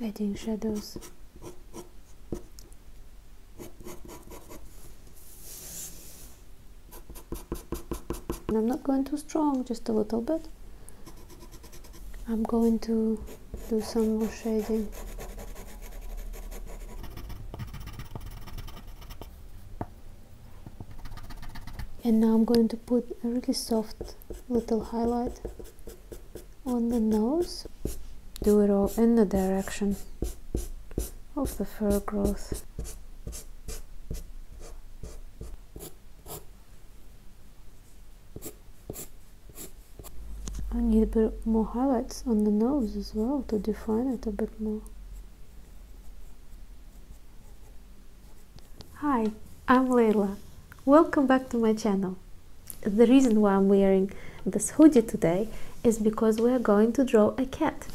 adding shadows I'm not going too strong just a little bit I'm going to do some more shading and now I'm going to put a really soft little highlight on the nose do it all in the direction of the fur growth I need a bit more highlights on the nose as well to define it a bit more Hi, I'm Leila. Welcome back to my channel. The reason why I'm wearing this hoodie today is because we are going to draw a cat.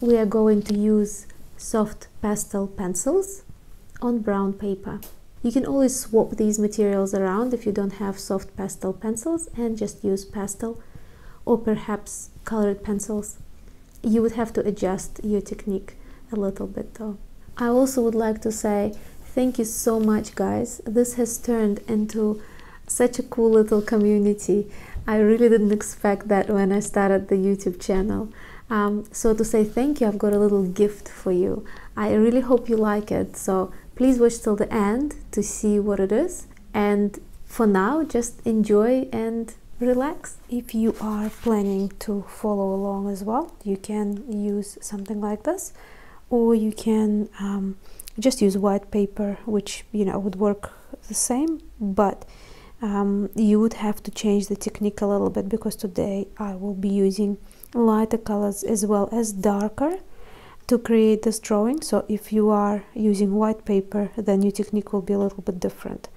We are going to use soft pastel pencils on brown paper. You can always swap these materials around if you don't have soft pastel pencils and just use pastel or perhaps colored pencils. You would have to adjust your technique a little bit though. I also would like to say thank you so much guys. This has turned into such a cool little community. I really didn't expect that when I started the YouTube channel. Um, so to say thank you, I've got a little gift for you. I really hope you like it. So Please watch till the end to see what it is. And for now, just enjoy and relax. If you are planning to follow along as well, you can use something like this, or you can um, just use white paper, which you know would work the same, but um, you would have to change the technique a little bit because today I will be using lighter colors as well as darker to create this drawing so if you are using white paper then your technique will be a little bit different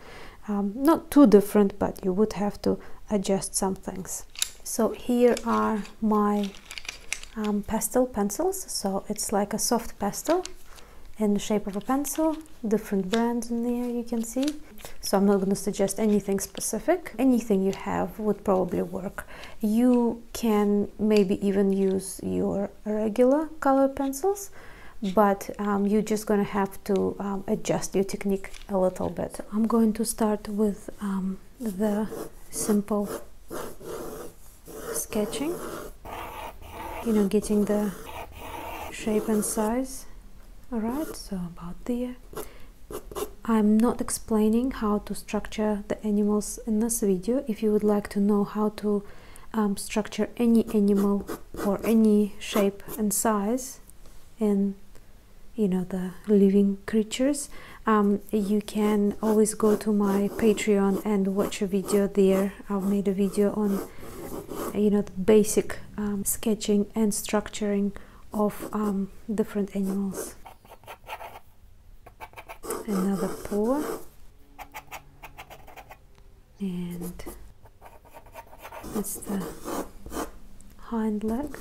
um, not too different but you would have to adjust some things so here are my um, pastel pencils so it's like a soft pastel in the shape of a pencil different brands in there you can see so i'm not going to suggest anything specific anything you have would probably work you can maybe even use your regular color pencils, but um, you're just gonna have to um, adjust your technique a little bit. I'm going to start with um, the simple sketching, you know, getting the shape and size. All right, so about there. I'm not explaining how to structure the animals in this video. If you would like to know how to um, structure any animal or any shape and size in you know the living creatures um, you can always go to my patreon and watch a video there i've made a video on you know the basic um, sketching and structuring of different animals another pour and that's the hind leg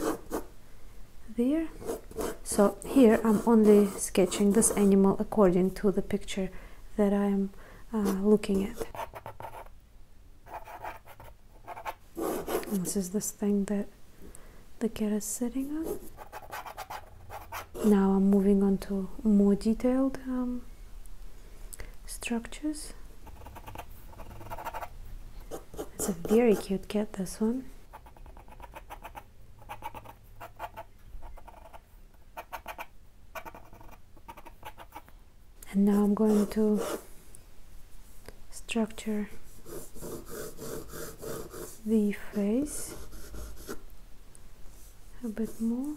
there so here I'm only sketching this animal according to the picture that I'm uh, looking at this is this thing that the cat is sitting on. Now I'm moving on to more detailed um, structures. It's a very cute cat, this one. And now I'm going to structure the face a bit more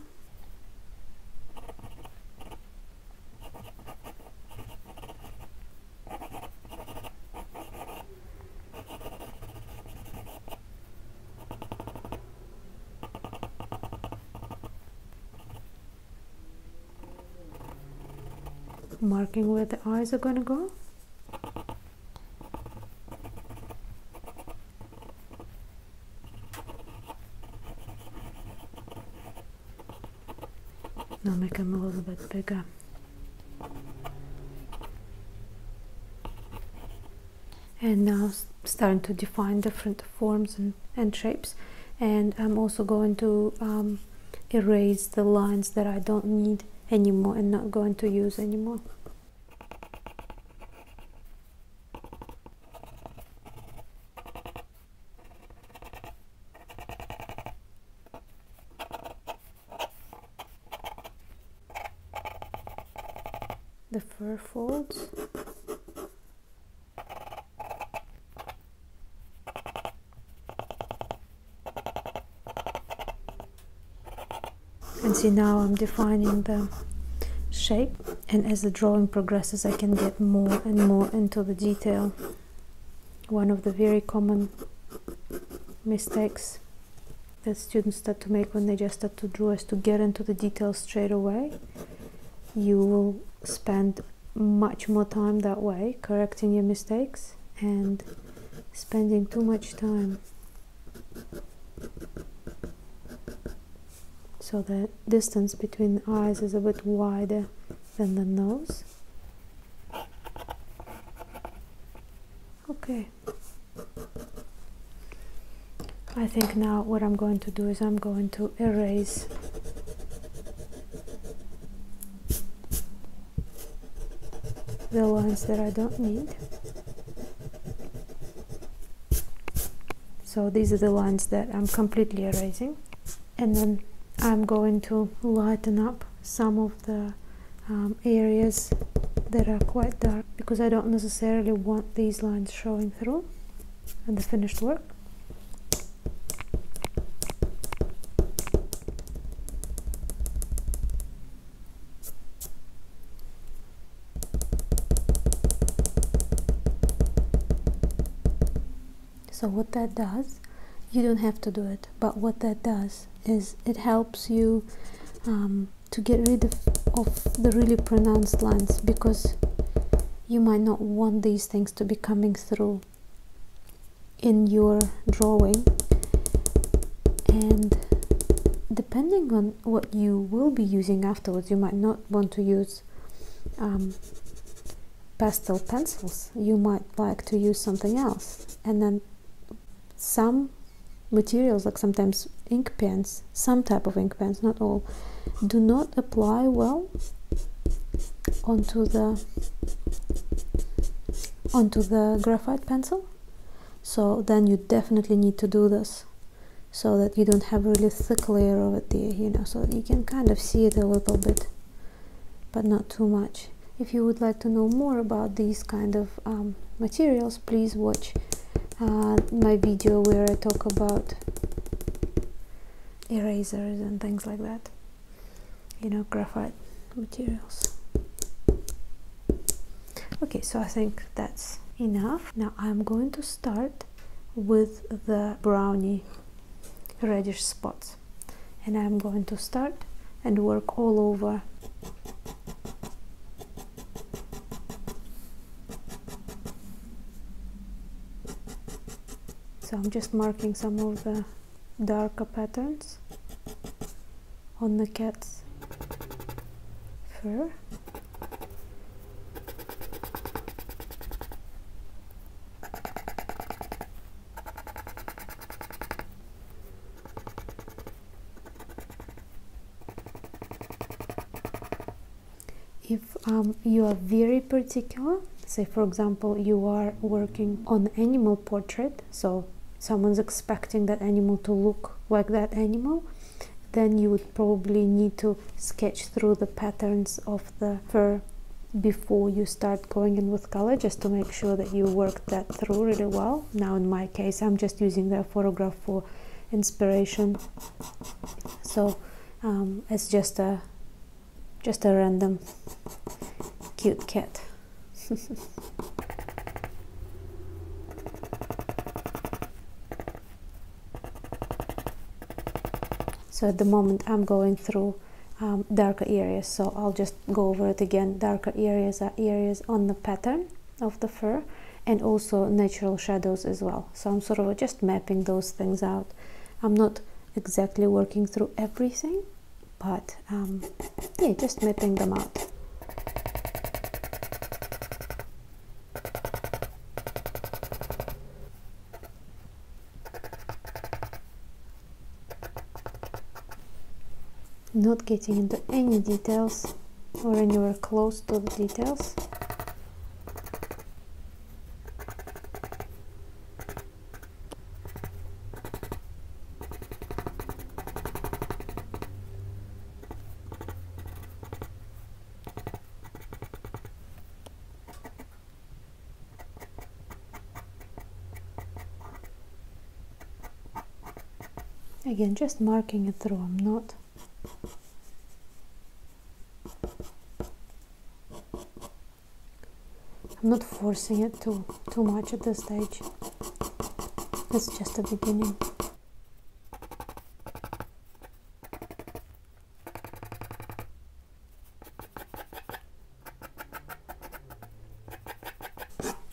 marking where the eyes are gonna go now make them a little bit bigger. And now starting to define different forms and, and shapes. And I'm also going to um, erase the lines that I don't need anymore and not going to use anymore. the fur folds and see now I'm defining the shape and as the drawing progresses I can get more and more into the detail one of the very common mistakes that students start to make when they just start to draw is to get into the details straight away you will spend much more time that way correcting your mistakes and spending too much time so the distance between the eyes is a bit wider than the nose okay I think now what I'm going to do is I'm going to erase the ones that I don't need so these are the ones that I'm completely erasing and then I'm going to lighten up some of the um, areas that are quite dark because I don't necessarily want these lines showing through and the finished work so what that does you don't have to do it but what that does is it helps you um, to get rid of the really pronounced lines because you might not want these things to be coming through in your drawing and depending on what you will be using afterwards you might not want to use um, pastel pencils you might like to use something else and then some materials like sometimes ink pens some type of ink pens not all do not apply well onto the onto the graphite pencil so then you definitely need to do this so that you don't have a really thick layer of it there you know so you can kind of see it a little bit but not too much if you would like to know more about these kind of um, materials please watch uh, my video where I talk about erasers and things like that you know graphite materials okay so I think that's enough now I'm going to start with the brownie reddish spots and I'm going to start and work all over so I'm just marking some of the darker patterns on the cat's fur. If um, you are very particular, say for example you are working on animal portrait, so someone's expecting that animal to look like that animal, then you would probably need to sketch through the patterns of the fur before you start going in with color just to make sure that you work that through really well. Now in my case I'm just using the photograph for inspiration so um, it's just a just a random cute cat so at the moment I'm going through um, darker areas so I'll just go over it again darker areas are areas on the pattern of the fur and also natural shadows as well so I'm sort of just mapping those things out I'm not exactly working through everything but um, yeah, just mapping them out. Not getting into any details or anywhere close to the details. Again, just marking it through, I'm not I'm not forcing it too too much at this stage. It's just the beginning.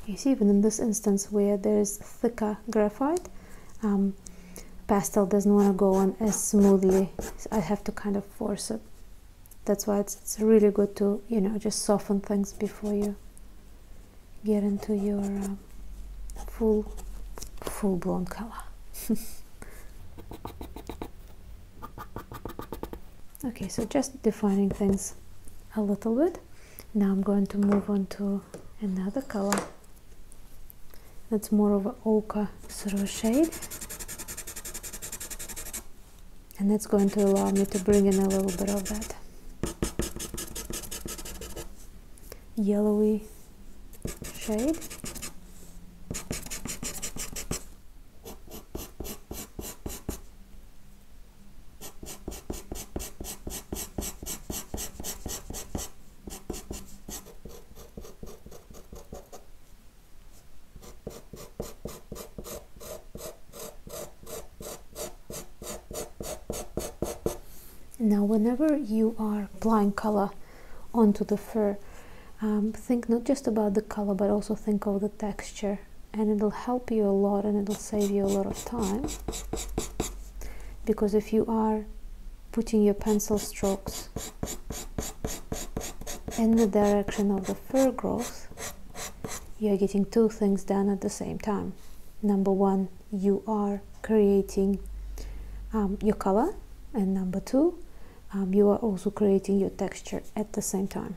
You see, even in this instance where there is thicker graphite, um, pastel doesn't want to go on as smoothly. I have to kind of force it. That's why it's it's, really good to you know just soften things before you get into your um, full full blown color okay so just defining things a little bit now I'm going to move on to another color that's more of an ochre sort of shade and that's going to allow me to bring in a little bit of that yellowy shade now, whenever you are applying color onto the fur, um, think not just about the color, but also think of the texture, and it'll help you a lot and it'll save you a lot of time. Because if you are putting your pencil strokes in the direction of the fur growth, you're getting two things done at the same time. Number one, you are creating um, your color, and number two, um, you are also creating your texture at the same time.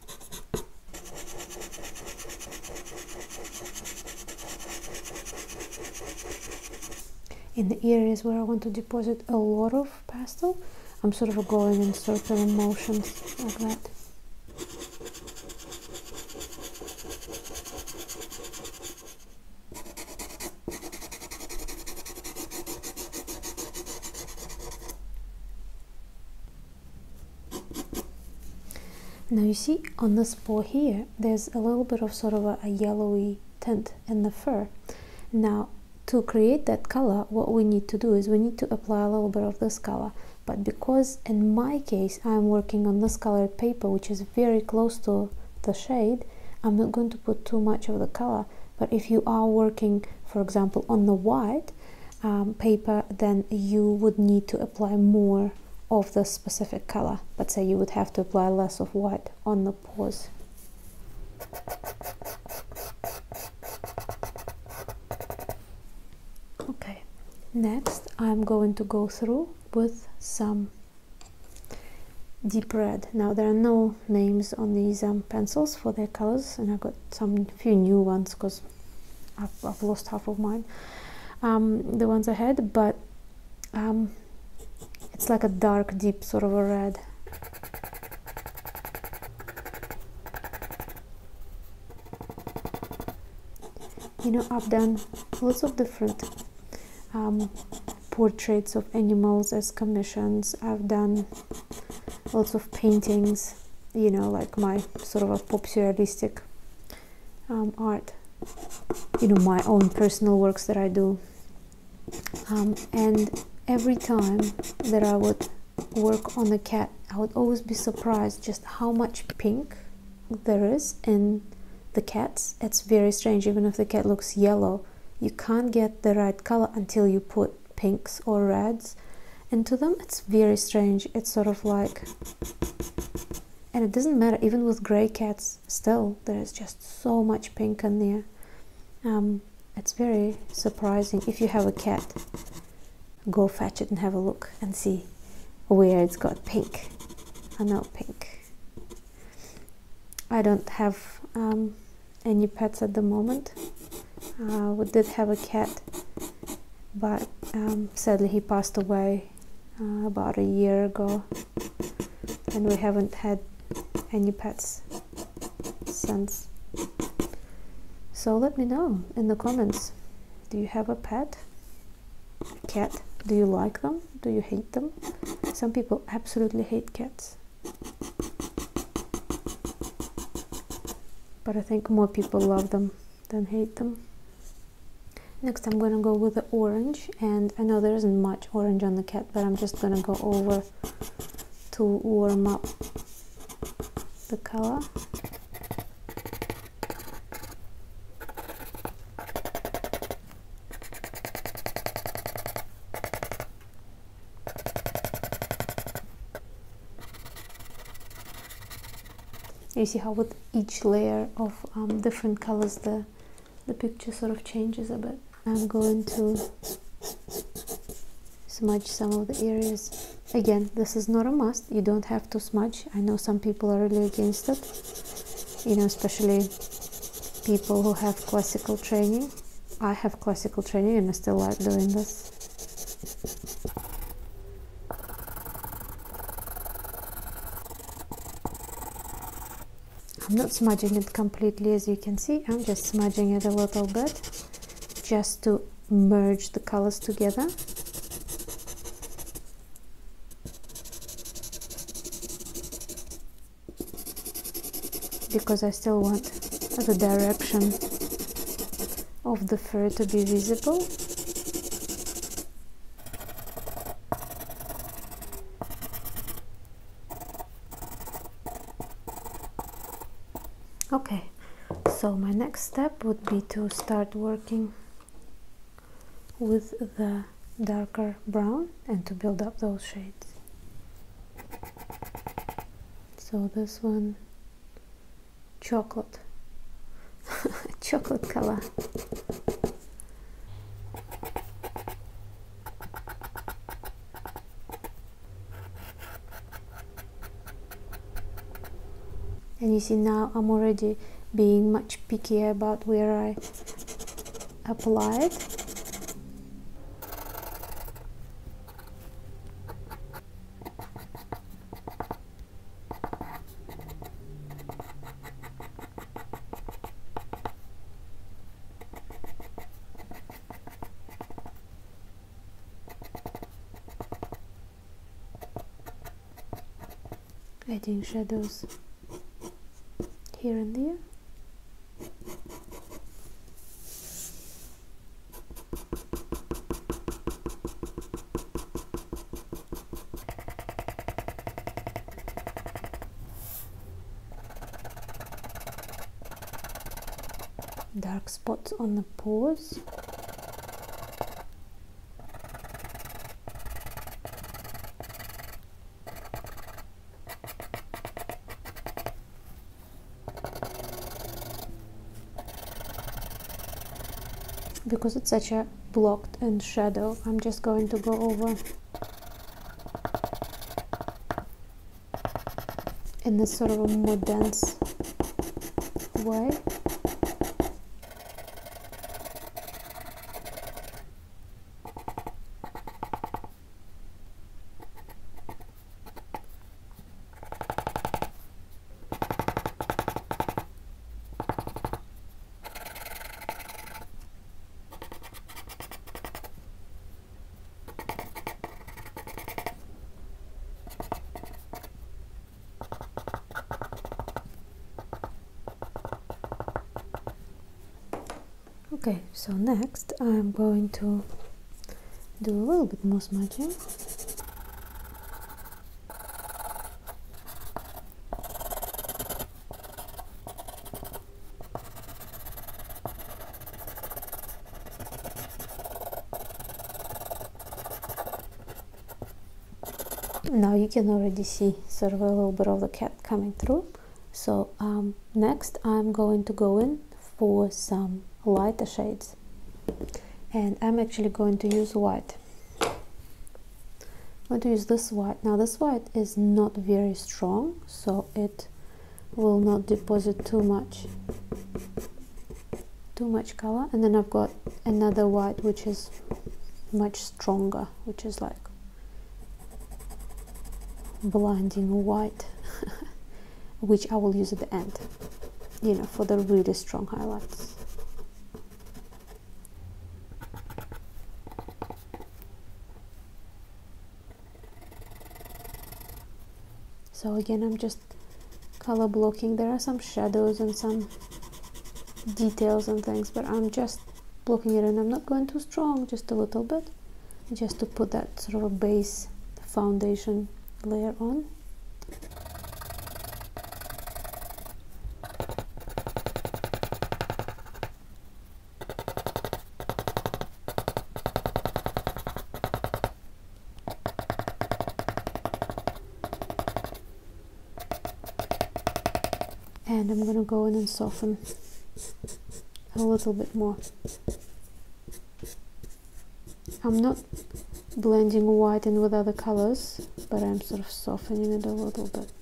in the areas where I want to deposit a lot of pastel, I'm sort of going in circular motions like that. Now you see on this paw here, there's a little bit of sort of a, yellowy tint in the fur. Now to create that color, what we need to do is we need to apply a little bit of this color. But because in my case, I'm working on this colored paper, which is very close to the shade, I'm not going to put too much of the color. But if you are working, for example, on the white, um, paper then you would need to apply more of the specific color but say you would have to apply less of white on the paws okay next I'm going to go through with some deep red now there are no names on these um, pencils for their colors and I got some few new ones because I've, lost half of mine um, the ones I had but um, it's like a dark deep sort of a red you know I've done lots of different um, portraits of animals as commissions I've done lots of paintings you know like my sort of a pop surrealistic um, art, you know, my own personal works that I do. Um, and every time that I would work on a cat, I would always be surprised just how much pink there is in the cats. It's very strange, even if the cat looks yellow, you can't get the right color until you put pinks or reds into them. It's very strange. It's sort of like and it doesn't matter, even with gray cats, still, there is just so much pink in there. Um, it's very surprising. If you have a cat, go fetch it and have a look and see where it's got pink. and know pink. I don't have um, any pets at the moment. Uh, we did have a cat but um, sadly he passed away uh, about a year ago and we haven't had any pets since so let me know in the comments do you have a pet cat do you like them do you hate them some people absolutely hate cats but i think more people love them don't hate them next I'm gonna go with the orange and I know there isn't much orange on the cat but I'm just gonna go over to warm up the color you see how with each layer of um, different colors the the picture sort of changes a bit I'm going to smudge some of the areas again this is not a must you don't have to smudge I know some people are really against it you know especially people who have classical training I have classical training and I still like doing this I'm not smudging it completely as you can see I'm just smudging it a little bit just to merge the colors together because I still want the direction of the fur to be visible. Okay, so my next step would be to start working with the darker brown and to build up those shades. So this one chocolate chocolate color and you see now I'm already being much pickier about where I apply it adding shadows here and there dark spots on the paws because it's such a blocked and shadow I'm just going to go over in this sort of a more dense way Okay, so next I'm going to do a little bit more smudging now you can already see sort of a little bit of the cat coming through so um, next I'm going to go in for some lighter shades and I'm actually going to use white I'm going to use this white. Now this white is not very strong, so it will not deposit too much too much color and then I've got another white which is much stronger which is like blinding white which I will use at the end you know for the really strong highlights so again I'm just color blocking there are some shadows and some details and things but I'm just blocking it and I'm not going too strong just a little bit just to put that sort of base foundation layer on and I'm going to go in and soften a little bit more. I'm not blending white and with other colors but I'm sort of softening it a little bit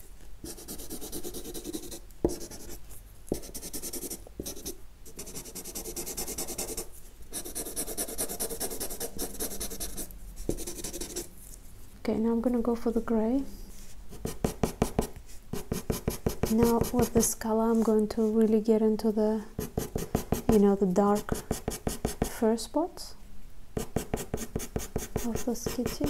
okay now I'm gonna go for the gray now with this color I'm going to really get into the you know the dark first part of this kitty.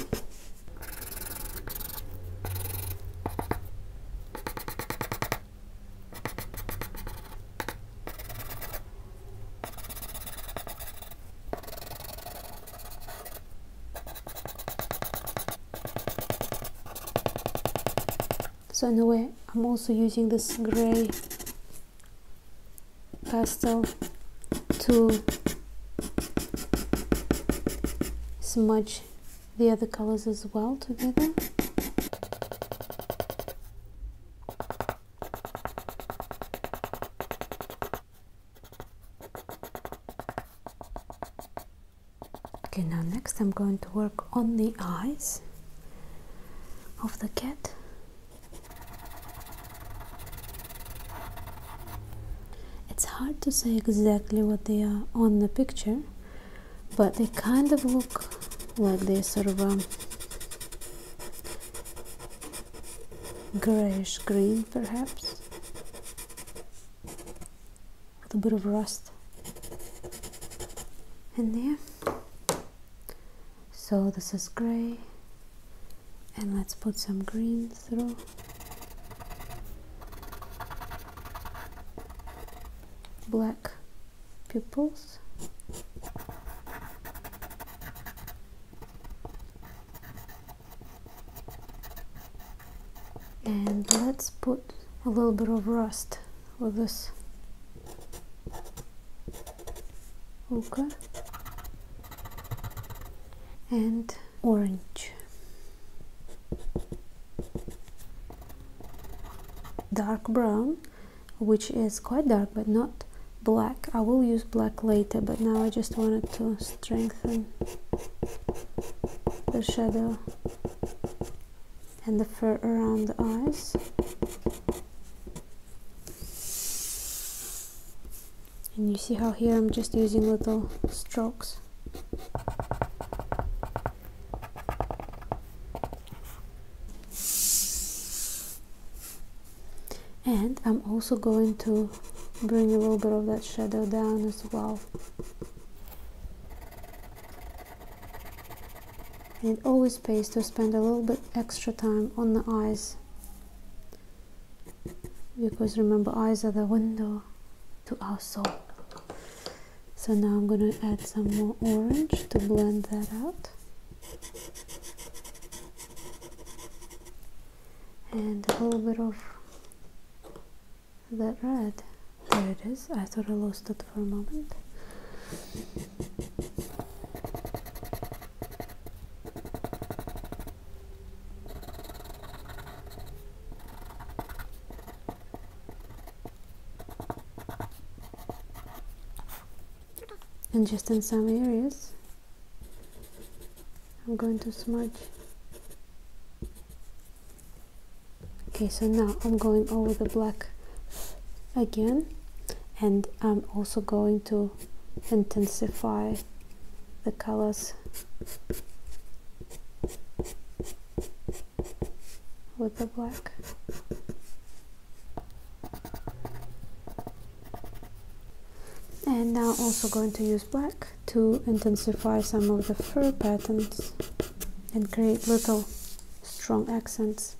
So anyway, I'm also using this grey pastel to smudge the other colors as well together. Okay, now next I'm going to work on the eyes of the cat. It's hard to say exactly what they are on the picture, but they kind of look like they're sort of um, grayish green perhaps with a bit of rust in there so this is gray and let's put some green through black pupils and let's put a little bit of rust with this Okay, and orange dark brown which is quite dark but not black I will use black later but now I just wanted to strengthen the shadow and the fur around the eyes and you see how here I'm just using little strokes and I'm also going to bring a little bit of that shadow down as well it always pays to spend a little bit extra time on the eyes because remember eyes are the window to our soul so now I'm gonna add some more orange to blend that out and a little bit of that red there it is I thought I lost it for a moment and just in some areas I'm going to smudge okay so now I'm going over the black again and I'm also going to intensify the colors with the black. And now also going to use black to intensify some of the fur patterns and create little strong accents.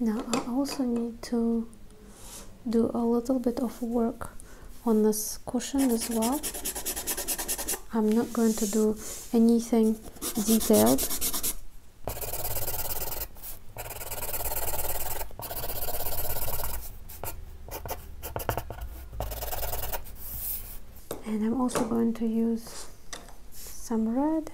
Now I also need to do a little bit of work on this cushion as well. I'm not going to do anything detailed. And I'm also going to use some red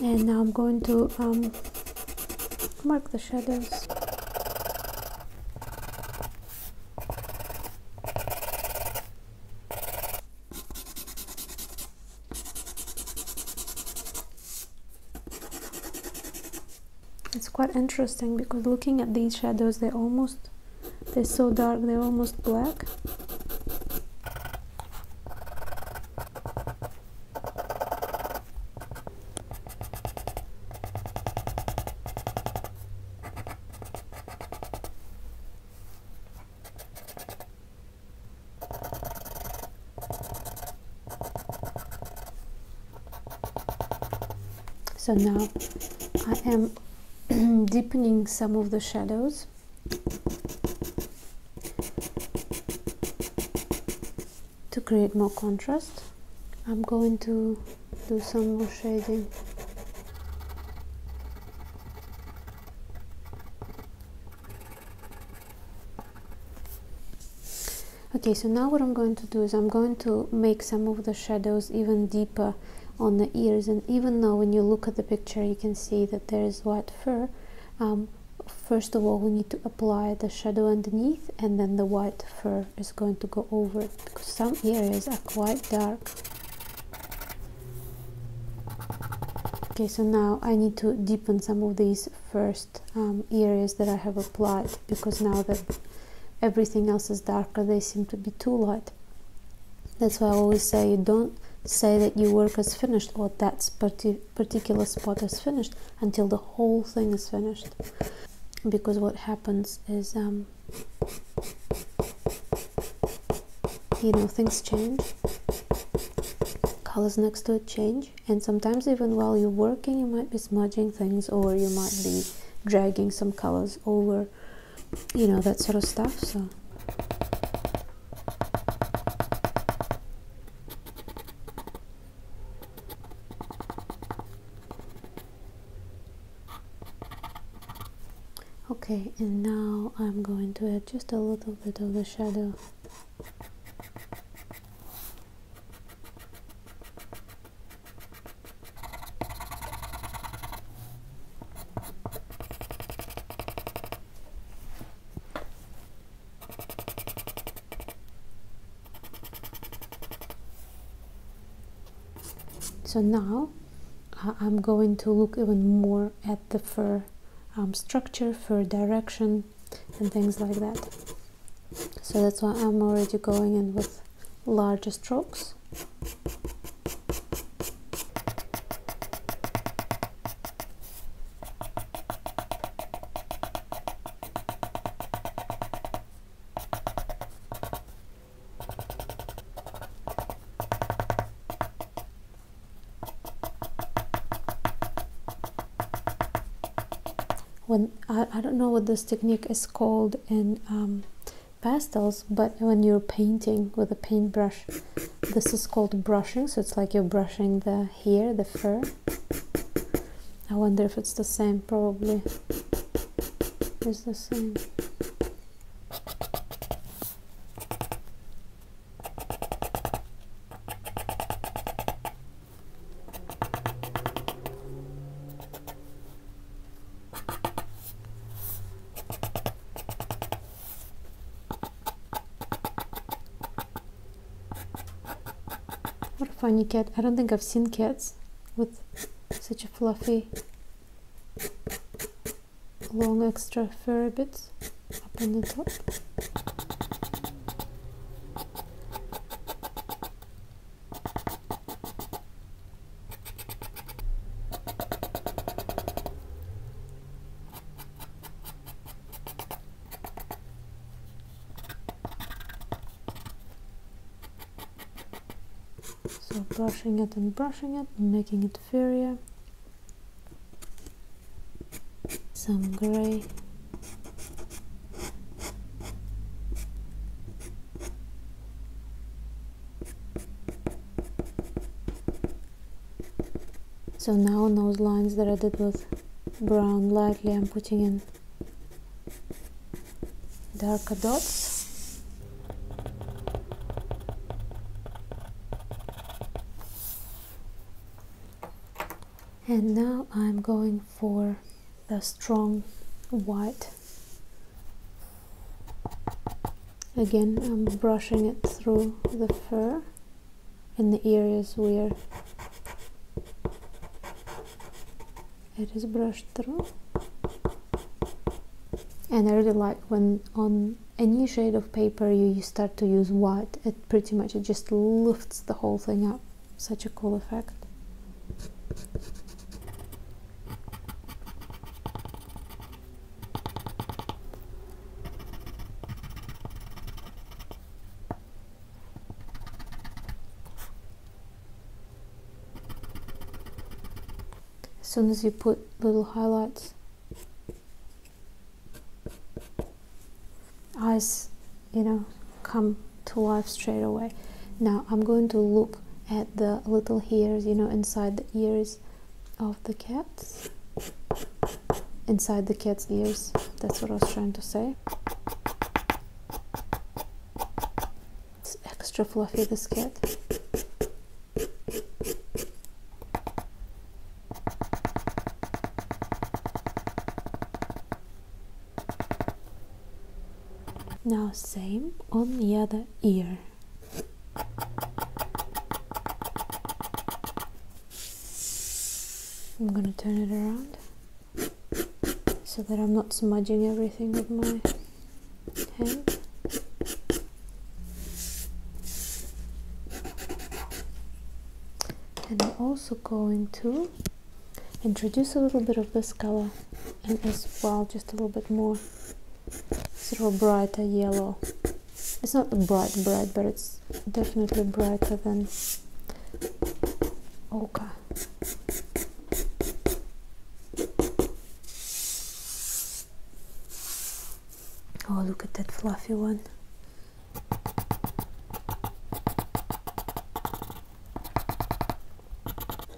and now I'm going to um, mark the shadows it's quite interesting because looking at these shadows they're almost they're so dark they're almost black so now I am deepening some of the shadows to create more contrast I'm going to do some more shading Okay, so now what I'm going to do is I'm going to make some of the shadows even deeper on the ears and even now, when you look at the picture you can see that there is white fur, um, first of all we need to apply the shadow underneath and then the white fur is going to go over it because some areas are quite dark. Okay, so now I need to deepen some of these first. Um, areas that I have applied because now that everything else is darker they seem to be too light that's why I always say you don't say that your work is finished or that particular spot is finished until the whole thing is finished because what happens is um, you know things change colors next to it change and sometimes even while you're working you might be smudging things or you might be dragging some colors over you know that sort of stuff so okay and now I'm going to add just a little bit of the shadow so now I'm going to look even more at the fur um, structure, fur direction and things like that so that's why I'm already going in with larger strokes when I, I don't know what this technique is called in um, pastels but when you're painting with a paintbrush this is called brushing so it's like you're brushing the hair the fur I wonder if it's the same probably it's the same what a funny cat. I don't think I've seen cats with such a fluffy long extra fur bits up on the top. So brushing it and brushing it, making it furrier. Some gray so now on those lines that I did with brown lightly, I'm putting in darker dots and now I'm going for the strong white again I'm brushing it through the fur in the areas where it is brushed through and I really like when on any shade of paper you, start to use white it pretty much it just lifts the whole thing up such a cool effect. As soon as you put little highlights, eyes you know come to life straight away now i'm going to look at the little hairs you know inside the ears of the cats inside the cat's ears that's what i was trying to say it's extra fluffy this cat now same on the other ear. I'm gonna turn it around so that I'm not smudging everything with my hand. And I'm also going to introduce a little bit of this color and as well just a little bit more sort of brighter yellow it's not bright bright but it's definitely brighter than ochre oh look at that fluffy one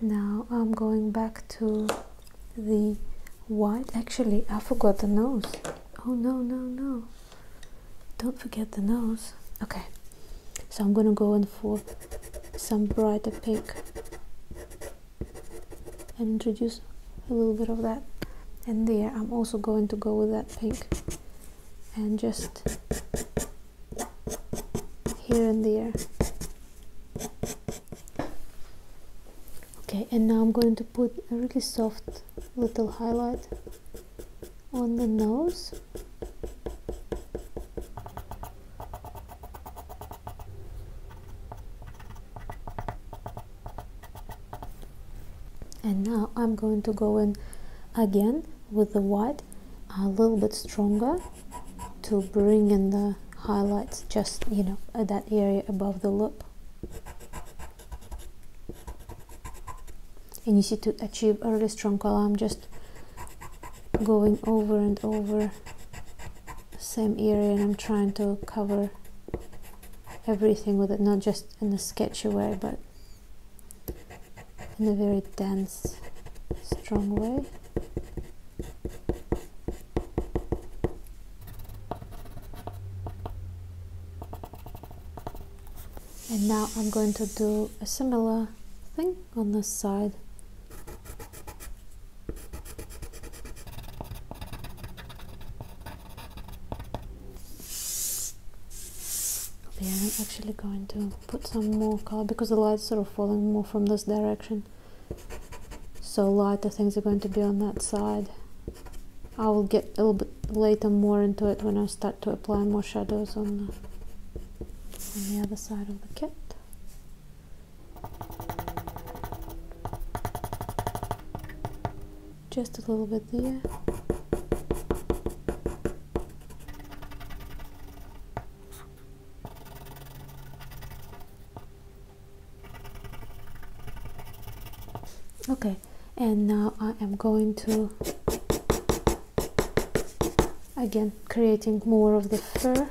now I'm going back to the white actually I forgot the nose oh no no no don't forget the nose okay so I'm gonna go in for some brighter pink and introduce a little bit of that and there I'm also going to go with that pink and just here and there okay and now I'm going to put a really soft little highlight on the nose and now I'm going to go in again with the white a little bit stronger to bring in the highlights just you know that area above the lip and you see to achieve a really strong color I'm just going over and over same area and I'm trying to cover everything with it not just in a sketchy way but in a very dense, strong way. And now I'm going to do a similar thing on this side. Okay, I'm actually going to put some more color because the light's sort of falling more from this direction so lighter things are going to be on that side I will get a little bit later more into it when I start to apply more shadows on the other side of the kit just a little bit there okay and now I am going to again creating more of the fur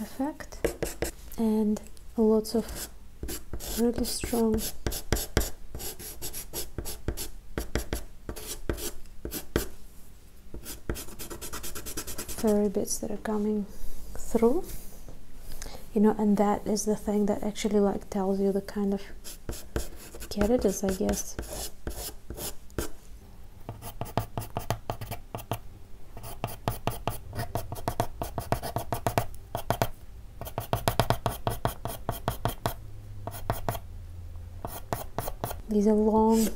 effect and lots of really strong furry bits that are coming through you know and that is the thing that actually like tells you the kind of characters, I guess these are long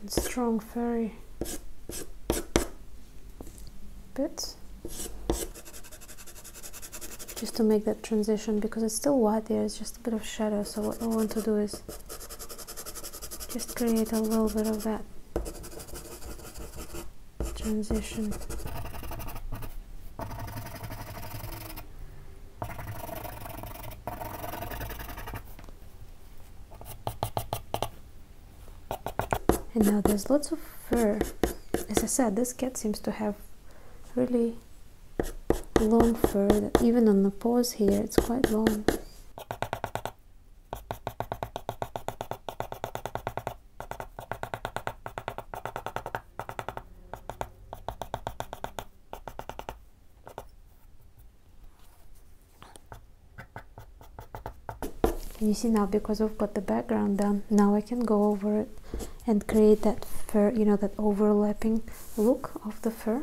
and strong furry bits just to make that transition because it's still white there it's just a bit of shadow so what I want to do is just create a little bit of that transition. And now there's lots of fur. As I said, this cat seems to have really long fur, even on the paws here, it's quite long. Can you see now because I've got the background done now I can go over it and create that fur you know that overlapping look of the fur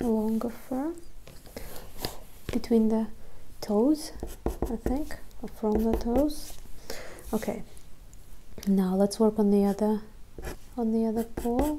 longer fur between the toes I think or from the toes okay now let's work on the other on the other paw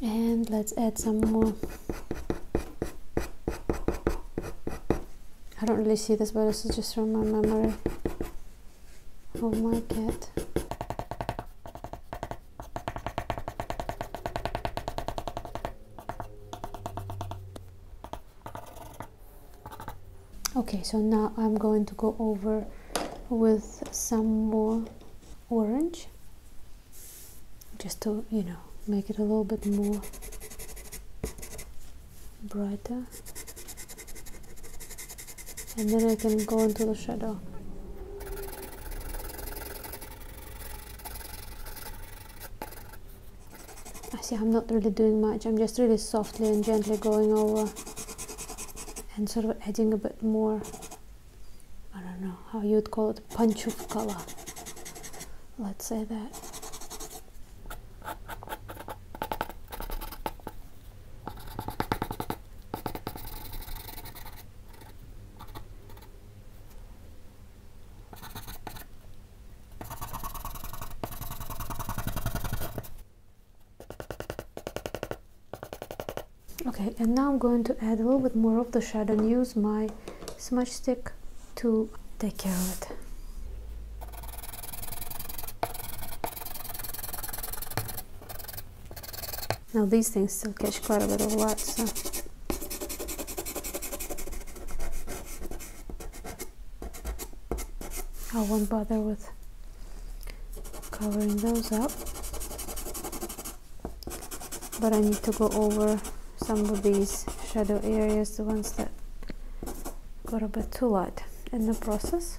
and let's add some more I don't really see this but this is just from my memory Oh my cat okay so now I'm going to go over with some more orange just to you know make it a little bit more brighter and then I can go into the shadow I see I'm not really doing much I'm just really softly and gently going over and sort of adding a bit more I don't know how you would call it punch of color let's say that okay and now I'm going to add a little bit more of the shadow and use my smudge stick to take care of it now these things still catch quite a bit of light so I won't bother with covering those up but I need to go over some of these shadow areas the ones that got a bit too light in the process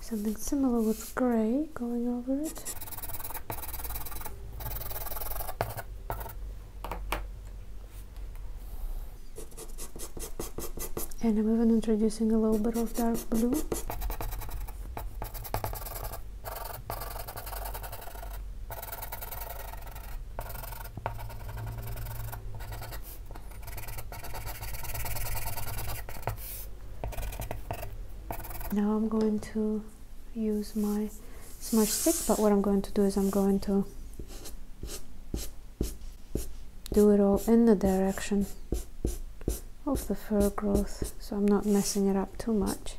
Something similar with grey going over it. And I'm even introducing a little bit of dark blue. Now I'm going to use my smudge stick, but what I'm going to do is I'm going to do it all in the direction of the fur growth so I'm not messing it up too much.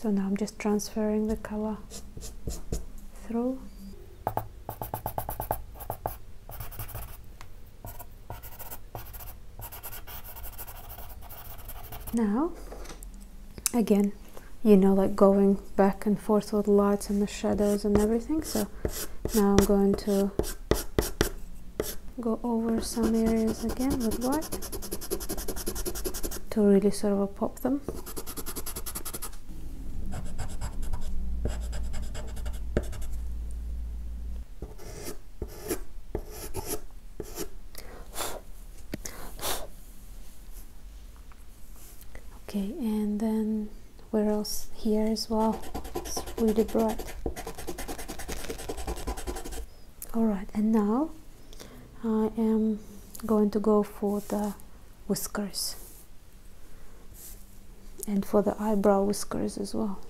So now I'm just transferring the color through. Now again you know like going back and forth with lights and the shadows and everything so now I'm going to go over some areas again with white to really sort of pop them okay and then where else here as well it's really bright all right and now I am going to go for the whiskers and for the eyebrow whiskers as well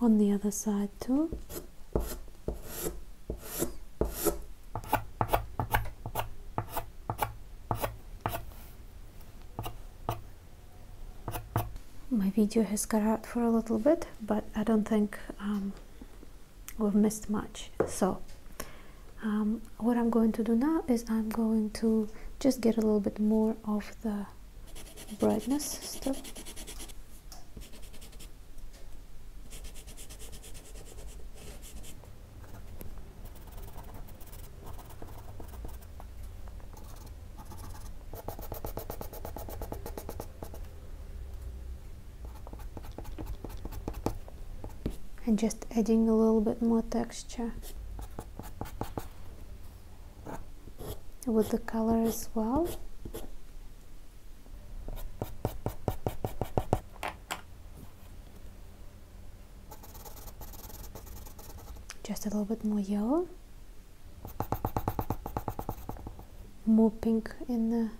on the other side too my video has cut out for a little bit, but I don't think um, we've missed much. So um, what I'm going to do now is I'm going to just get a little bit more of the brightness stuff and just adding a little bit more texture with the color as well just a little bit more yellow. More pink in the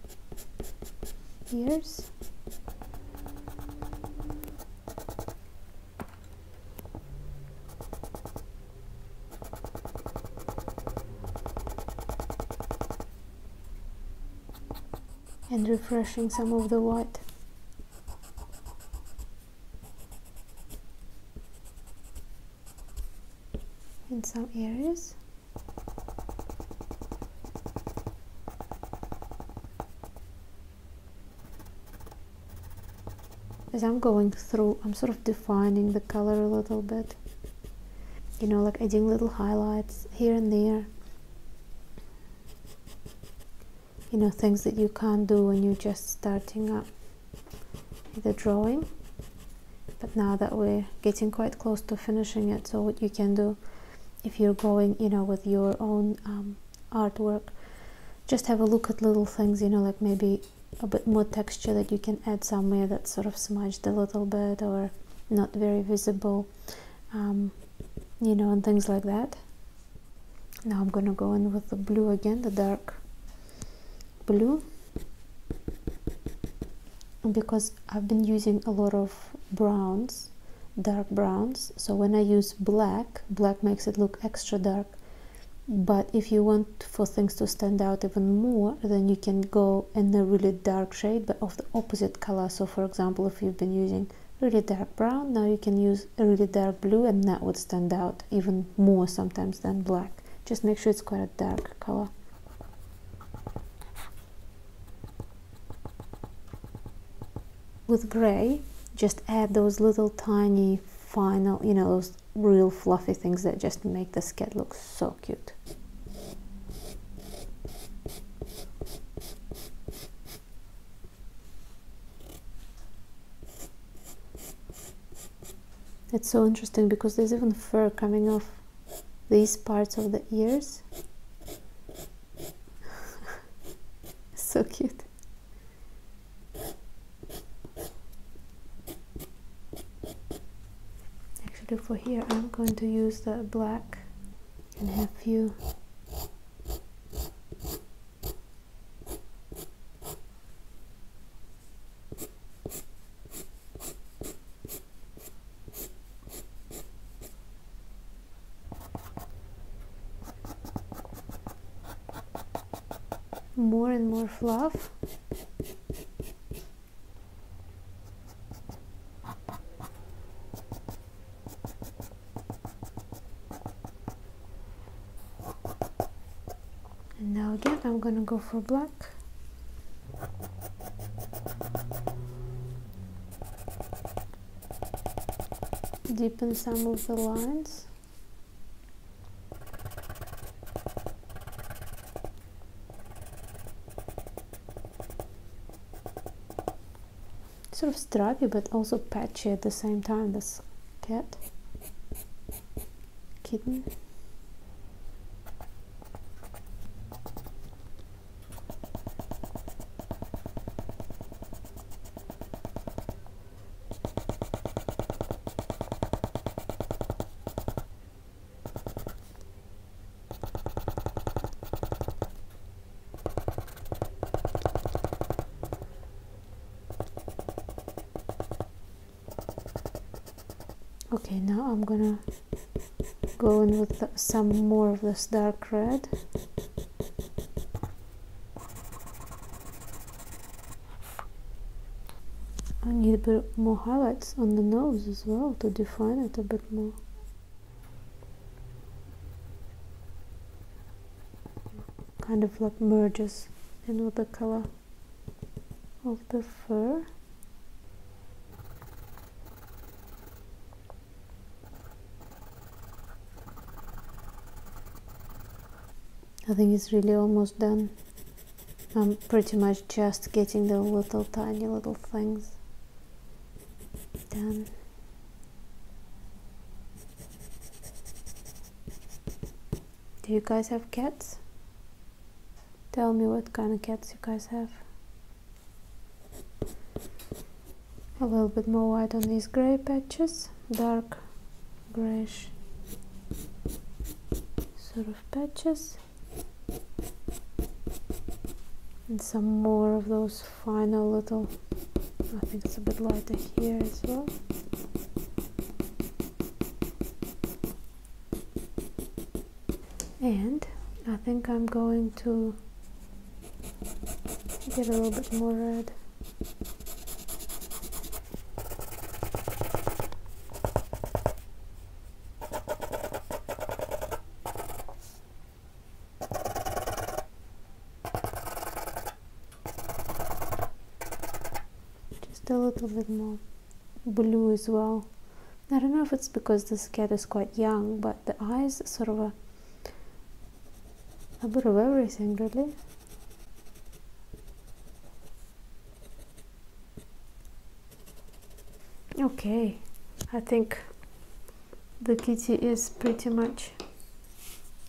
ears. and refreshing some of the white in some areas as I'm going through I'm sort of defining the color a little bit you know like adding little highlights here and there you know things that you can't do when you're just starting up the drawing but now that we're getting quite close to finishing it so what you can do if you're going you know with your own um, artwork just have a look at little things you know like maybe a bit more texture that you can add somewhere that's sort of smudged a little bit or not very visible um, you know and things like that now I'm gonna go in with the blue again the dark blue because I've been using a lot of browns dark browns so when I use black black makes it look extra dark but if you want for things to stand out even more then you can go in a really dark shade but of the opposite color so for example if you've been using really dark brown now you can use really dark blue and that would stand out even more sometimes than black just make sure it's quite a dark color with gray just add those little tiny final you know those real fluffy things that just make the sketch look so cute it's so interesting because there's even fur coming off these parts of the ears. so cute. Actually for here I'm going to use the black and have few more and more fluff and now again, I'm going to go for black. Deepen some of the lines. Sort of stripy, but also patchy at the same time. That's cat, kitten, okay now I'm gonna go in with some more of this dark red I need a bit more highlights on the nose as well to define it a bit more kind of like merges in with the color of the fur I think it's really almost done I'm pretty much just getting the little tiny little things done do you guys have cats? Tell me what kind of cats you guys have. A little bit more white on these grey patches, dark greyish sort of patches. And some more of those final little, I think it's a bit lighter here as well and I think I'm going to get a little bit more red just a little bit more blue as well I don't know if it's because this cat is quite young but the eyes sort of a a bit of everything really okay I think the kitty is pretty much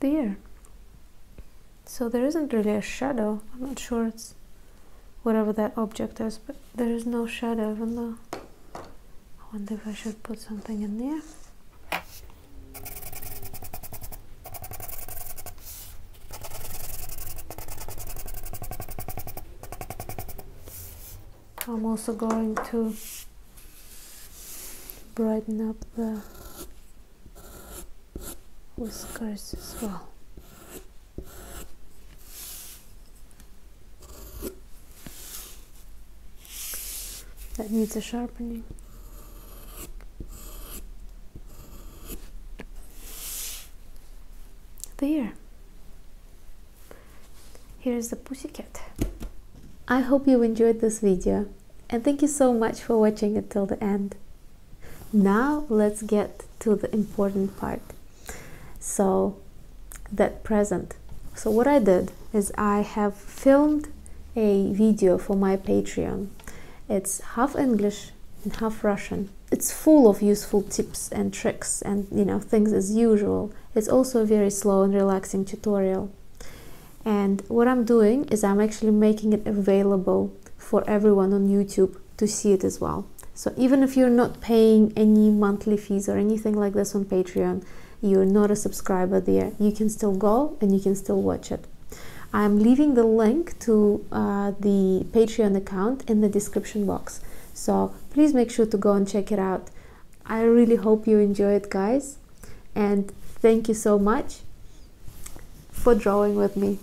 there so there isn't really a shadow I'm not sure it's whatever that object is but there is no shadow in though I wonder if I should put something in there I'm also going to brighten up the whiskers as well. That needs a sharpening. There. Here's the pussy cat. I hope you enjoyed this video and thank you so much for watching until the end. Now let's get to the important part. So that present. So what I did is I have filmed a video for my Patreon. It's half English and half Russian. It's full of useful tips and tricks and you know things as usual. It's also a very slow and relaxing tutorial and what I'm doing is I'm actually making it available for everyone on YouTube to see it as well so even if you're not paying any monthly fees or anything like this on Patreon you're not a subscriber there you can still go and you can still watch it I'm leaving the link to uh, the Patreon account in the description box so please make sure to go and check it out I really hope you enjoy it guys and thank you so much for drawing with me.